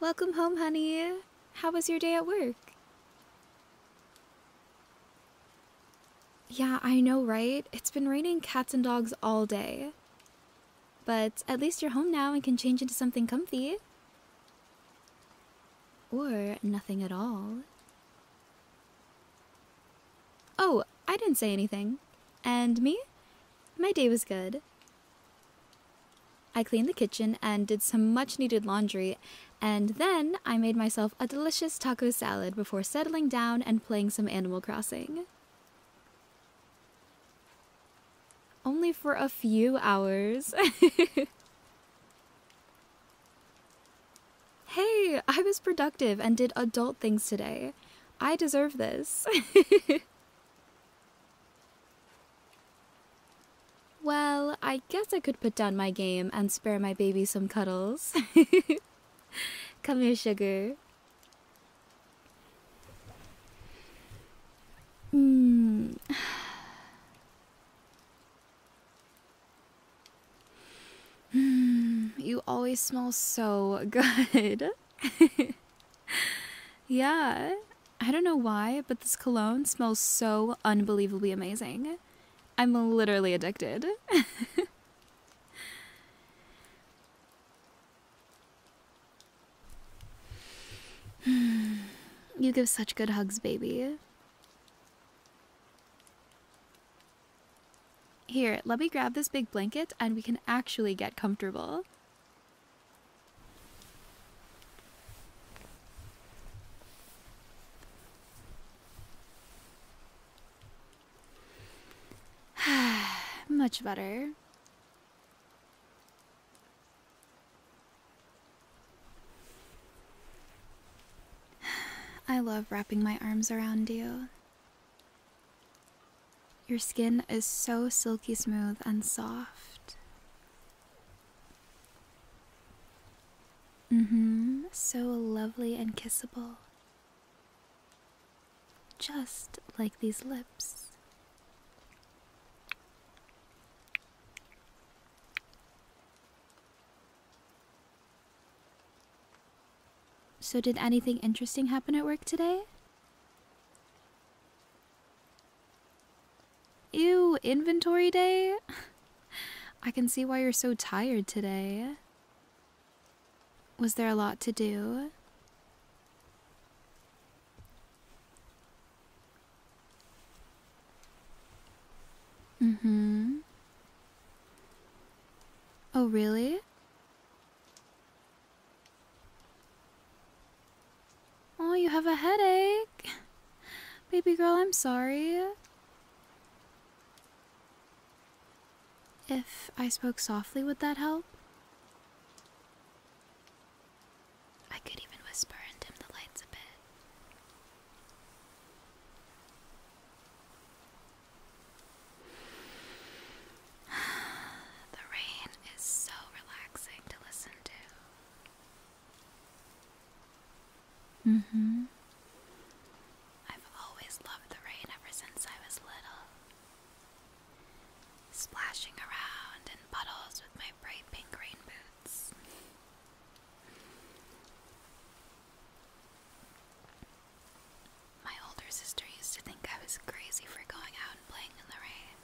Welcome home, honey. How was your day at work? Yeah, I know, right? It's been raining cats and dogs all day. But at least you're home now and can change into something comfy. Or nothing at all. Oh, I didn't say anything. And me? My day was good. I cleaned the kitchen and did some much needed laundry, and then I made myself a delicious taco salad before settling down and playing some Animal Crossing. Only for a few hours. Hey, I was productive and did adult things today. I deserve this. well, I guess I could put down my game and spare my baby some cuddles. Come here, sugar. Mm. Mm, you always smell so good. yeah, I don't know why, but this cologne smells so unbelievably amazing. I'm literally addicted. Hmm, you give such good hugs, baby. Here, let me grab this big blanket and we can actually get comfortable. Much better. I love wrapping my arms around you. Your skin is so silky smooth and soft. Mm hmm, so lovely and kissable. Just like these lips. So, did anything interesting happen at work today? Ew, inventory day? I can see why you're so tired today. Was there a lot to do? Mm hmm. Oh, really? Oh, you have a headache. Baby girl, I'm sorry. If I spoke softly, would that help? I could even whisper and dim the lights a bit. the rain is so relaxing to listen to. hmm. I've always loved the rain ever since I was little splashing around in puddles with my bright pink rain boots. My older sister used to think I was crazy for going out and playing in the rain.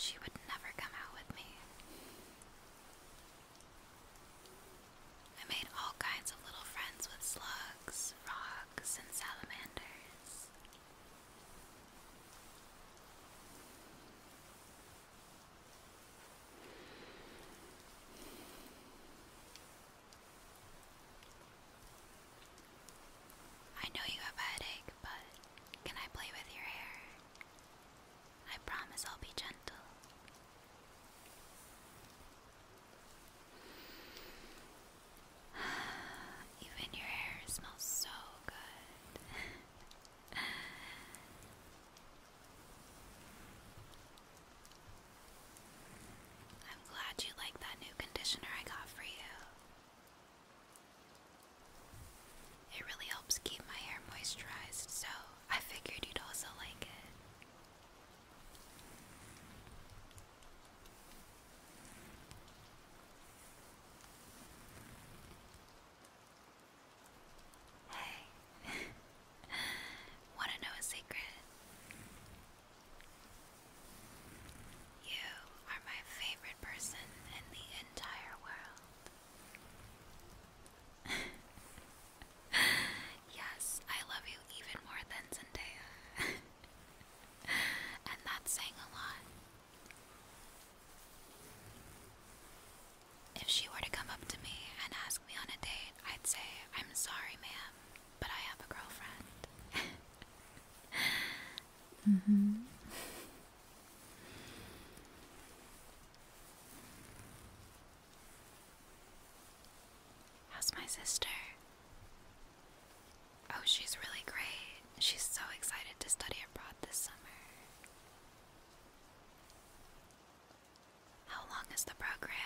She would never come out with me. I made all kinds of little friends with slugs, frogs, and salamanders. I know you have a headache, but can I play with your hair? I promise I'll be gentle. Even your hair smells so good. I'm glad you like that new conditioner I got for you. It really helps keep my hair moisturized, so I figured you'd also like it. Hey, want to know a secret? You are my favorite person in the entire world. yes, I love you even more than Zendaya. and that's saying a lot. If she were to come up to me and ask me on a date, I'd say, I'm sorry, ma'am, but I have a girlfriend. Mm-hmm. How's my sister? Oh, she's really great. She's so excited to study abroad this summer. How long is the program?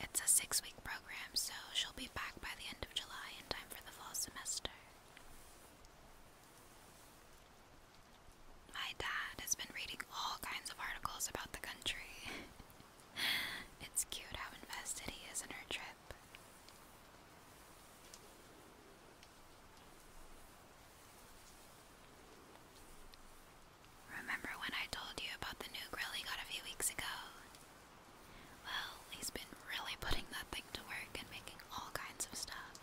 It's a six week program, so she'll be back by the end of July in time for the fall semester. My dad has been reading all kinds of articles about the country. it's cute how invested he is in her trip. Remember when I told you about the new grill he got a few weeks ago? Well, he's been really putting that thing to work and making all kinds of stuff.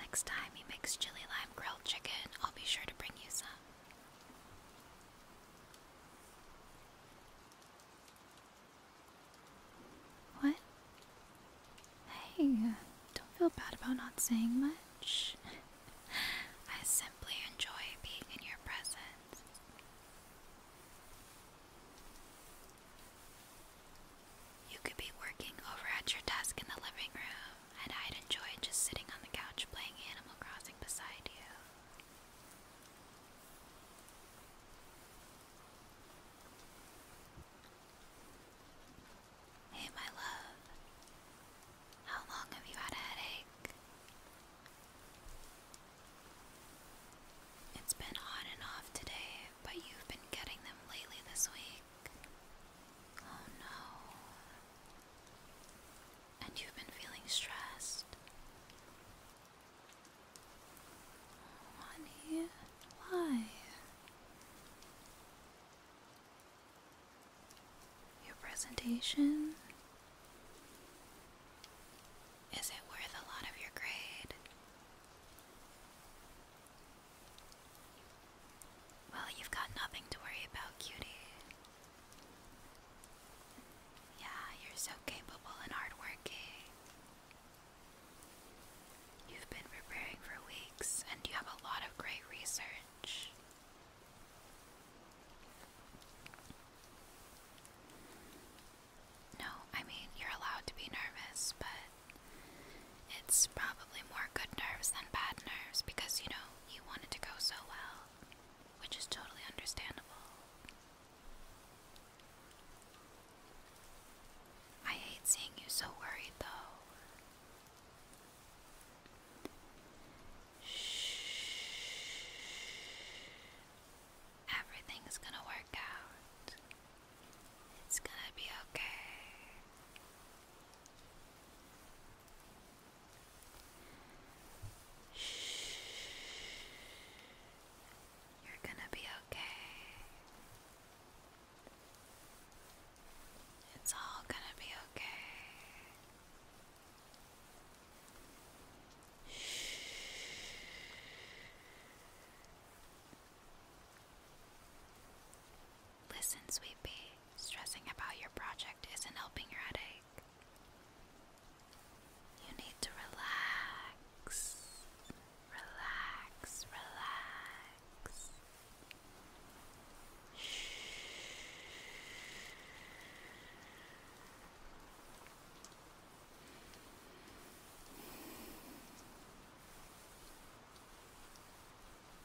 Next time he makes chili lime grilled chicken, I'll be sure to bring you some. What? Hey, don't feel bad about not saying much. I simply enjoy being in your presence. You could be working over at your desk in the living room and I'd enjoy just sitting on the couch playing Animal Crossing beside you. Hey, my love. How long have you had a headache? It's been on and off today, but you've been getting them lately this week. Oh no and you've been feeling stressed. Honey, why? Your presentation? Is it worth a lot of your grade? Well, you've got nothing to worry about, cutie. Yeah, you're so capable and hardworking. You've been preparing for weeks and you have a lot of great research. No, I mean, you're allowed to be nervous, but it's probably more good nerves than bad nerves because, you know, you wanted to go so well, which is totally understandable. I hate seeing you so worried, though. Shh. Everything's gonna work out. It's gonna be okay. Shh. You're gonna be okay. It's all gonna be okay. Listen, sweetie. stressing about your project isn't helping your headache. You need to relax, relax, relax. Shh.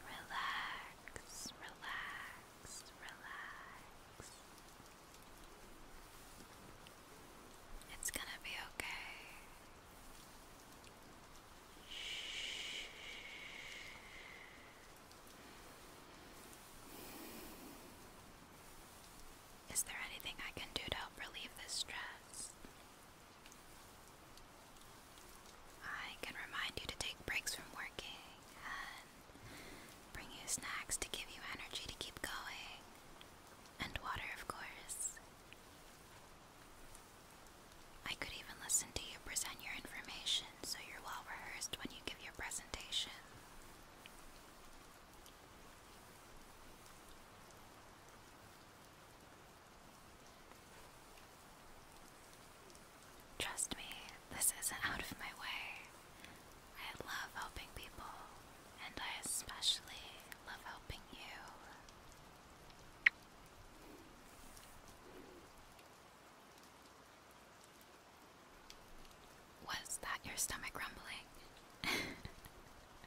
Relax, relax, relax. It's gonna be okay. Shh. Is there anything I can do to help relieve this stress? I can remind you to take breaks from working and bring you snacks to give you energy to keep going, and water, of course. I could even listen to you present your information so you're well rehearsed when you give your presentation. Trust me, this isn't out of my way. I love helping people, and I especially love helping you. Was that your stomach rumbling?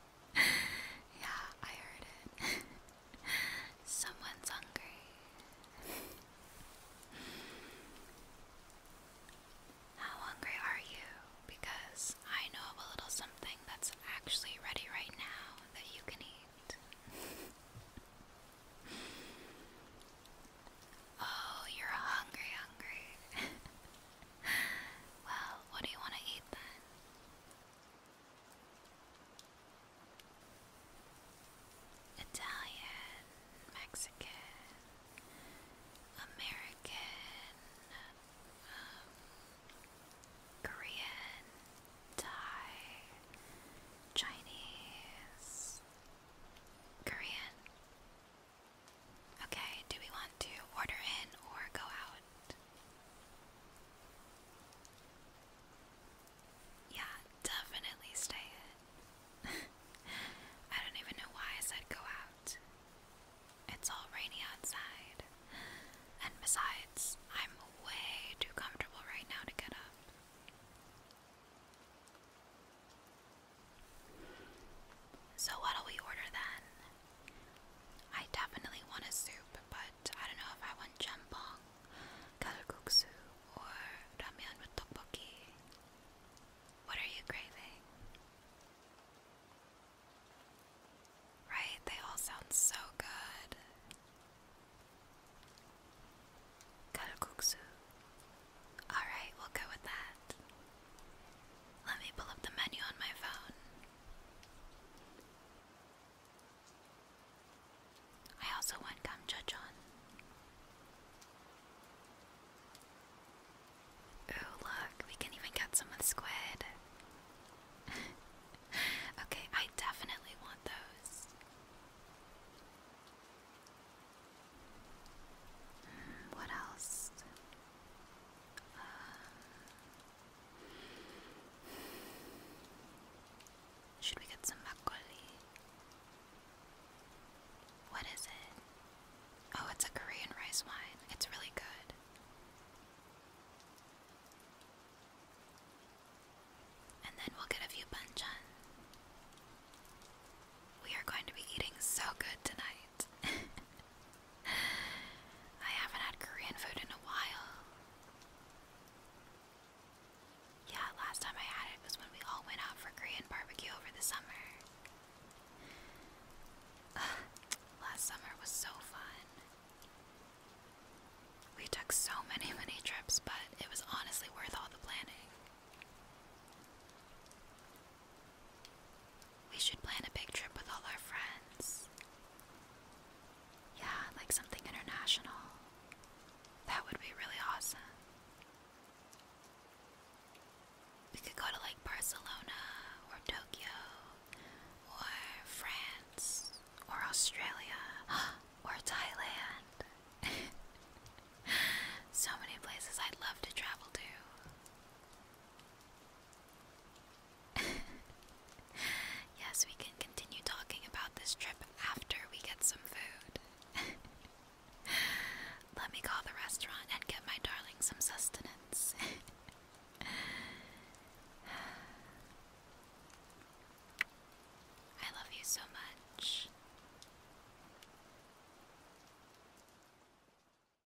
yeah, I heard it. Someone's hungry. How hungry are you? Because I know of a little something that's actually ready right now that you can eat. oh, you're hungry, hungry. well, what do you want to eat then? Italian, Mexican, American, um, Korean, Thai, Chinese, Korean. Okay, do we want to order in or go out? Yeah, definitely stay I don't even know why I said go out. It's all rainy outside. And besides, I'm way too comfortable right now to get up. So, what'll we order then? I definitely want a soup, but I don't know if I want jjampong, kalguksu, or ramyeon with tteokbokki. What are you craving? Right? They all sound so good. Kalguksu. Alright, we'll go with that. Let me pull up the menu on my phone. I also want Gamjajang. Oh, look, we can even get some with squid. okay, I definitely want those. Hmm, what else? Uh, should we get some makgeolli? What is it? Oh, it's a Korean rice wine. It's really good. And then we'll get a few banchan. We are going to be eating so good tonight. I haven't had Korean food in a while. Yeah, last time I had it was when we all went out for Korean barbecue over the summer. last summer was so fun. We took so many, many trips, but it was honestly worth all the planning. We should plan a big trip with all our friends. Yeah, like something international. That would be really awesome. We could go to like Barcelona or Tokyo or France or Australia or Thailand. so many places I'd love to travel to. yes, we can continue talking about this trip after we get some food. Let me call the restaurant and get my darling some sustenance. I love you so much.